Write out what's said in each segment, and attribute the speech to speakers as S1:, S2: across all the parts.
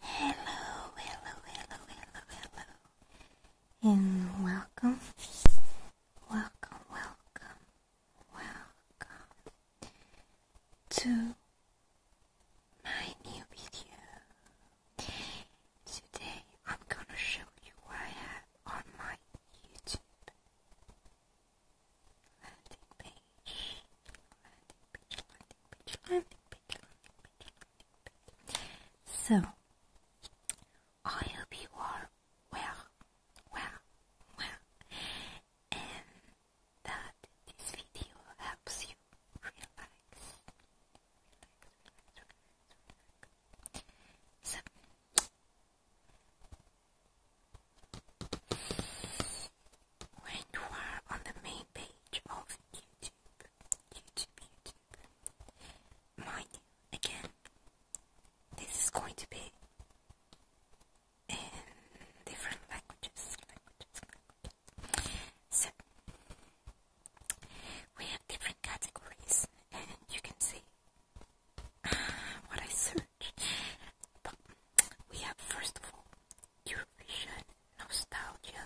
S1: Hello, hello, hello, hello, hello, and welcome, welcome, welcome, welcome to my new video. Today I'm gonna show you what I have on my YouTube landing page, landing page, landing page, landing page, landing page, landing page. So, I hope you are well, well, well, and that this video helps you relax. So, when you are on the main page of YouTube, YouTube, YouTube, mind again, this is going to be in different languages, So, we have different categories, and you can see uh, what I search we have first of all Eurovision nostalgia.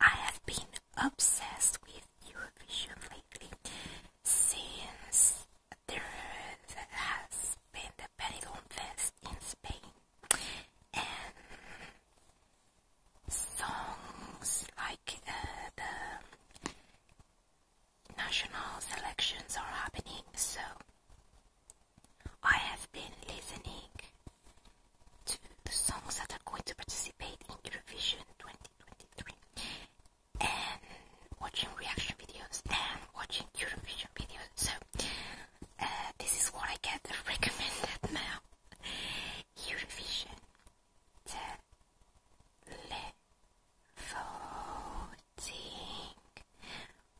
S1: I have been obsessed with Eurovision lately since there has been the Benidorm Fest in Spain and songs like uh, the national selections are happening so I have been listening to the songs that are going to participate in Eurovision 2023 and watching reaction videos and watching Eurovision videos. So, uh, this is what I get recommended now Eurovision. level exciting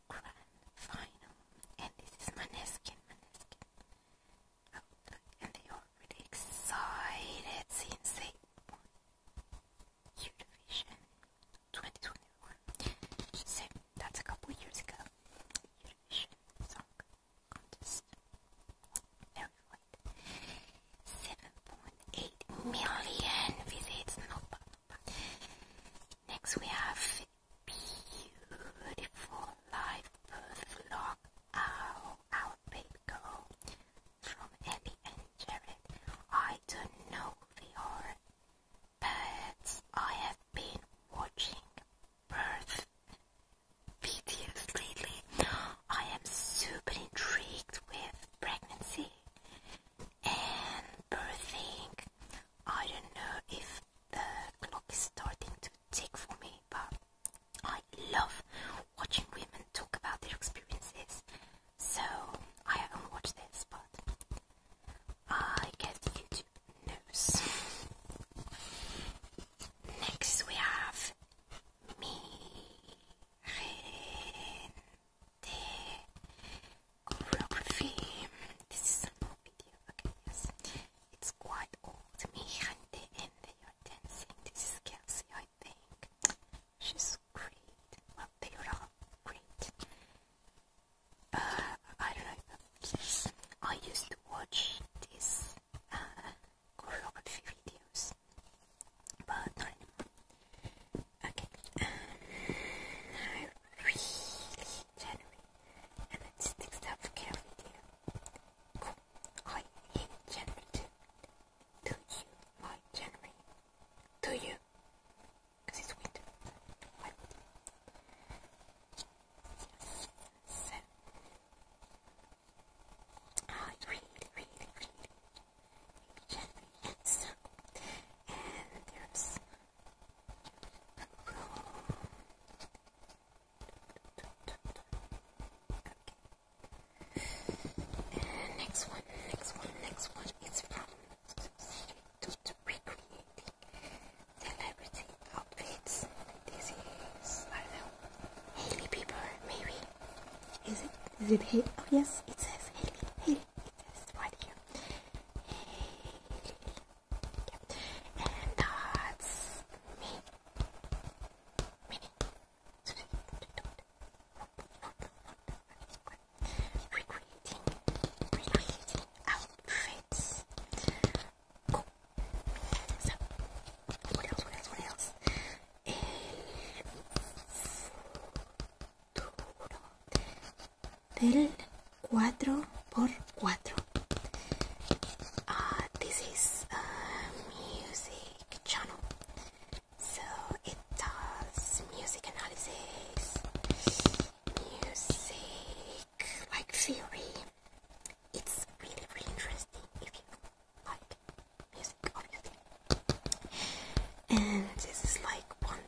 S1: grand final. And this is Maneskin, Maneskin. Oh, look, and they are really excited since they won 2021. So, that's a couple years ago. 7.8 million visits. No, no, no. Next we have beautiful live birth log. Ow, our baby girl. From Ellie and Jared. I don't know who they but I have been watching birth videos lately. I am super intrigued with pregnancy and birthing I don't know if the clock is starting to tick for me, but I love watching women talk about their experiences. So I haven't watched this, but I guess YouTube knows. Next we have Miren the choreography. This is a simple video, okay? Yes, it's quite old. Mihande and they are dancing. This is Kelsey, I think. She's great. Well, they are great. I don't know. Yes, I used to watch these choreography videos, but not anymore. Okay. I really generally and it sticks up carefully Cool. I hate generally too. Do you like generally? Do you? Because it's winter. Why So I really, really, really generally and and there's Okay. next one, next one, next one is from to, to celebrity outfits. This is I don't know Haley Bieber maybe. Is it is it Haley? Oh yes, it says Haley. Haley. It says right here. Yep. And that's me. Me. So Recreating, recreating outfits. Cool. So, what else? What else? What else? El futuro del 4x4 uh, ah, this is a music channel so it does music analysis music like theory it's really really interesting like music obviously and this is like one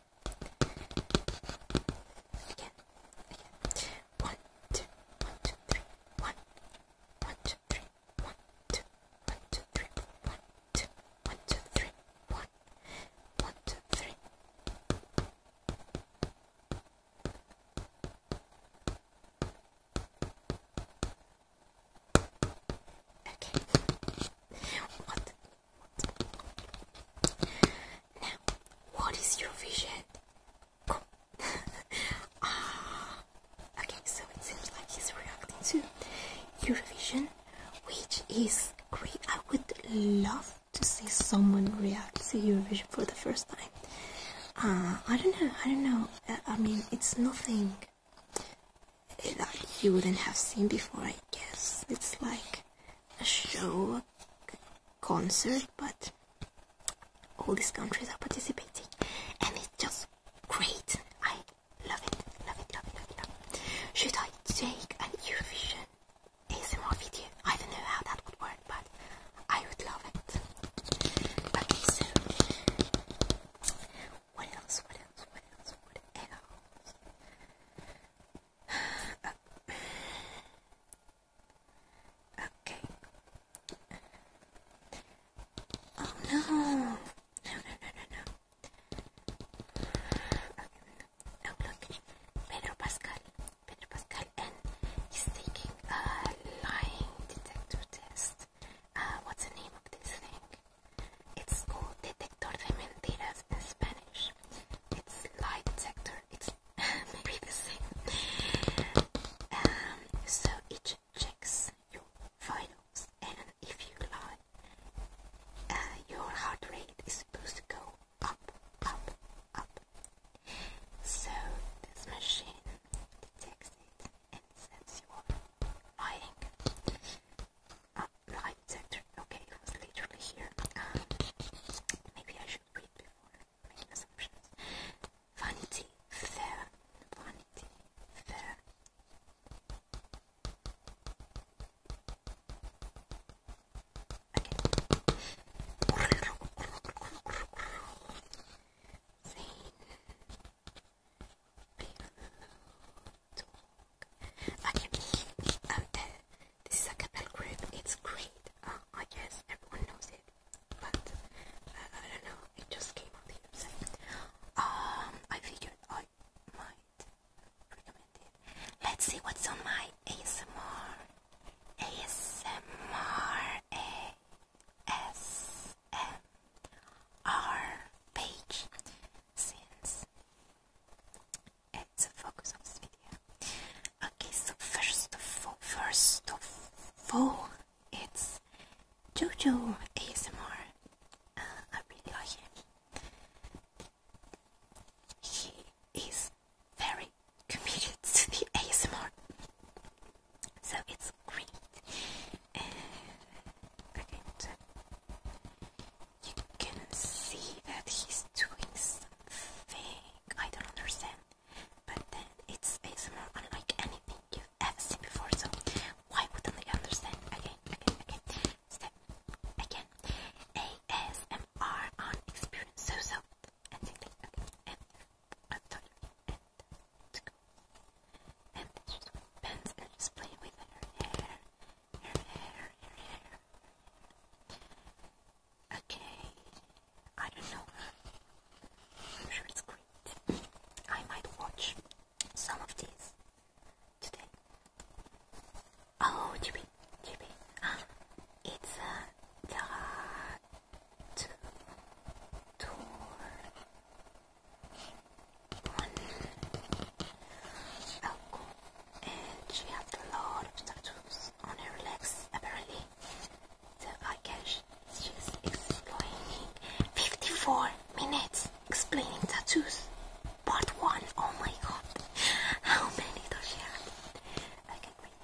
S1: Again, again. One, two, one, two, three, one, one, two, three, one, two, one, two, three, one, two, one, two, three, one, one, two, three. Okay. What now, what is your vision? ah, okay, so it seems like he's reacting to your which is great. I would love to see someone react to your vision for the first time. Uh, I don't know, I don't know. Uh, I mean, it's nothing that you wouldn't have seen before, I guess. It's like a show, a concert, but all these countries are participating, and it's just great. I love it, love it, love it, love it. Love it. Should I take an Eurovision ASMR video? I don't know how that would work, but I would love it. Okay, so what else? What else? What else? What else? Okay. Oh no! No, no, no, no, no. Okay. Pedro Pascal. Pedro Pascal, and he's taking a lying detector test. Uh, what's the name of this thing? It's called Detector de Mentiras in Spanish its light sector, it's maybe the same. Um, so it checks your vitals, and if you lie, uh, your heart rate is supposed to go up, up, up. So this machine detects it and sends you off lying um, sector. Okay, it was literally here. maybe I should read before making assumptions. Vanity Fair. Vanity Fair. Okay. Okay, um, this is a cappella group. It's great. Uh, I guess everyone knows it, but uh, I don't know. It just came on the Um, I figured I might recommend it. Let's see what's on my ASMR. ASMR. ASMR page since it's the focus of this video. Okay, so first of all, first of all, it's Jojo ASMR. Uh, I really like him. He is very committed to the ASMR, so it's great. Uh, okay, you can see that he's doing something I don't understand, but then it's ASMR unlike anything you've ever seen before, so why wouldn't I understand? Again, again, again, step again. ASMR on experience, so so, and okay, and I'm tired, and then she pens with her hair Okay. I don't know. I'm sure it's great. I might watch some of these today. Oh, Chibi, Chibi. Ah, it's a uh, tattoo and she has a lot of tattoos on her legs apparently. So I guess she's explaining 54 minutes explaining tattoos. Part 1. Oh my god. How many does she have? Okay, great.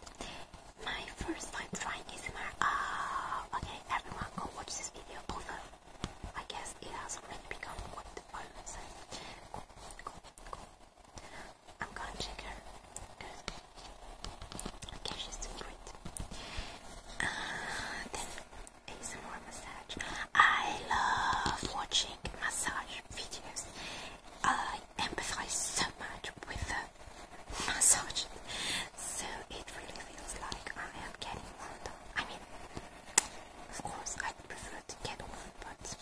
S1: My first time trying is ASMR. Ah, uh, okay, everyone go watch this video over. I guess it has already become what the I would say. I'm gonna check her. Good. Okay, she's doing great. Uh, then ASMR massage. I love watching massage videos. I empathize so much with the massage. So it really feels like I am getting one I mean, of course, I prefer to get one, but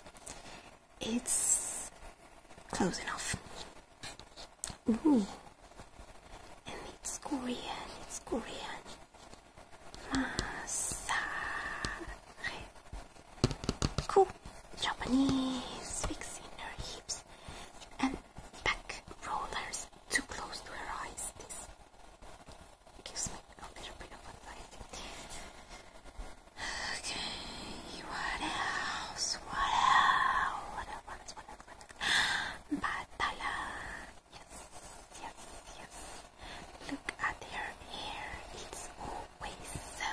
S1: it's closing off. Ooh. And it's Korean, it's Korean. Massage. Cool. Japanese fixing her hips and back rollers too close to her eyes. This it gives me a little bit of anxiety. Okay, what else? What else? What else? What else? What else? What else? Batala. Yes, yes, yes. Look at her hair. It's always so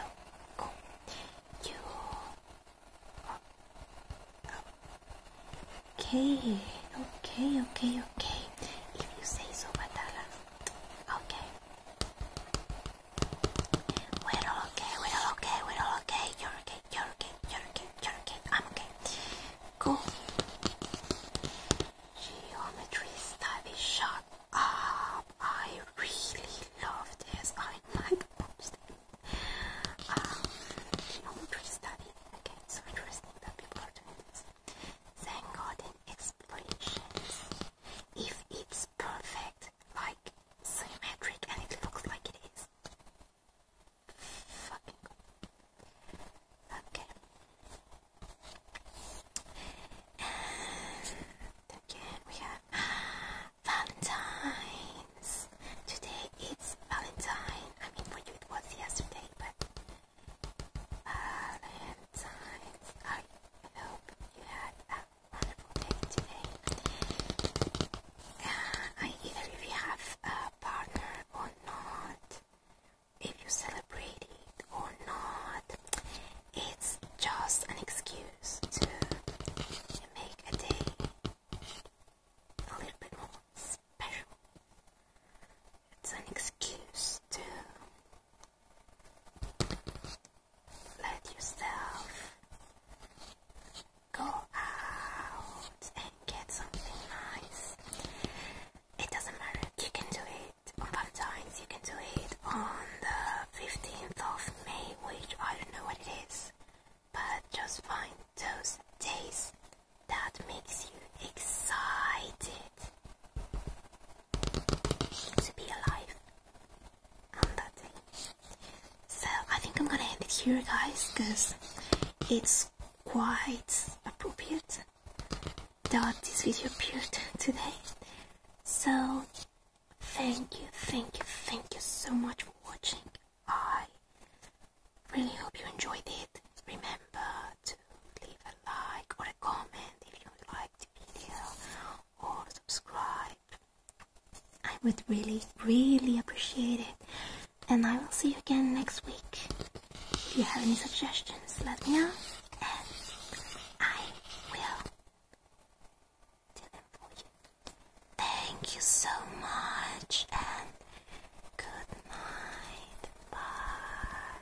S1: cool. You. Oh. Oh. Okay, okay, okay, okay. If you say so, Batala. Okay. We're all okay, we're all okay, we're all okay. You're okay, you're okay, you're okay, you're okay. I'm okay. Cool. Geometry study shot up. I really love this. I like um, geometry study. Okay, so interesting that people are doing this. Thank God in expressions. If it's perfect, like symmetric, and it looks like it is. Fucking God. Okay. And again, we have Valentine's. Today it's Valentine. I mean, for you it was yesterday, but Valentine's. I hope you had a wonderful day today. either if you have a partner or not, if you celebrate it or not, it's just an excuse to make a day a little bit more special. It's an excuse to let yourself go out and get something nice. It doesn't matter, you can do it on you can do it on the 15th of May, which I don't know what it is, but just find those days that makes you excited to be alive on that day. So I think I'm gonna end it here, guys, because it's quite appropriate that this video appeared today. So thank you, thank you, thank you so much for watching. I really hope you enjoyed it. Remember leave a like or a comment if you liked the video or subscribe. I would really, really appreciate it. And I will see you again next week. If you have any suggestions, let me know. And I will do them for you. Thank you so much and good night. Bye.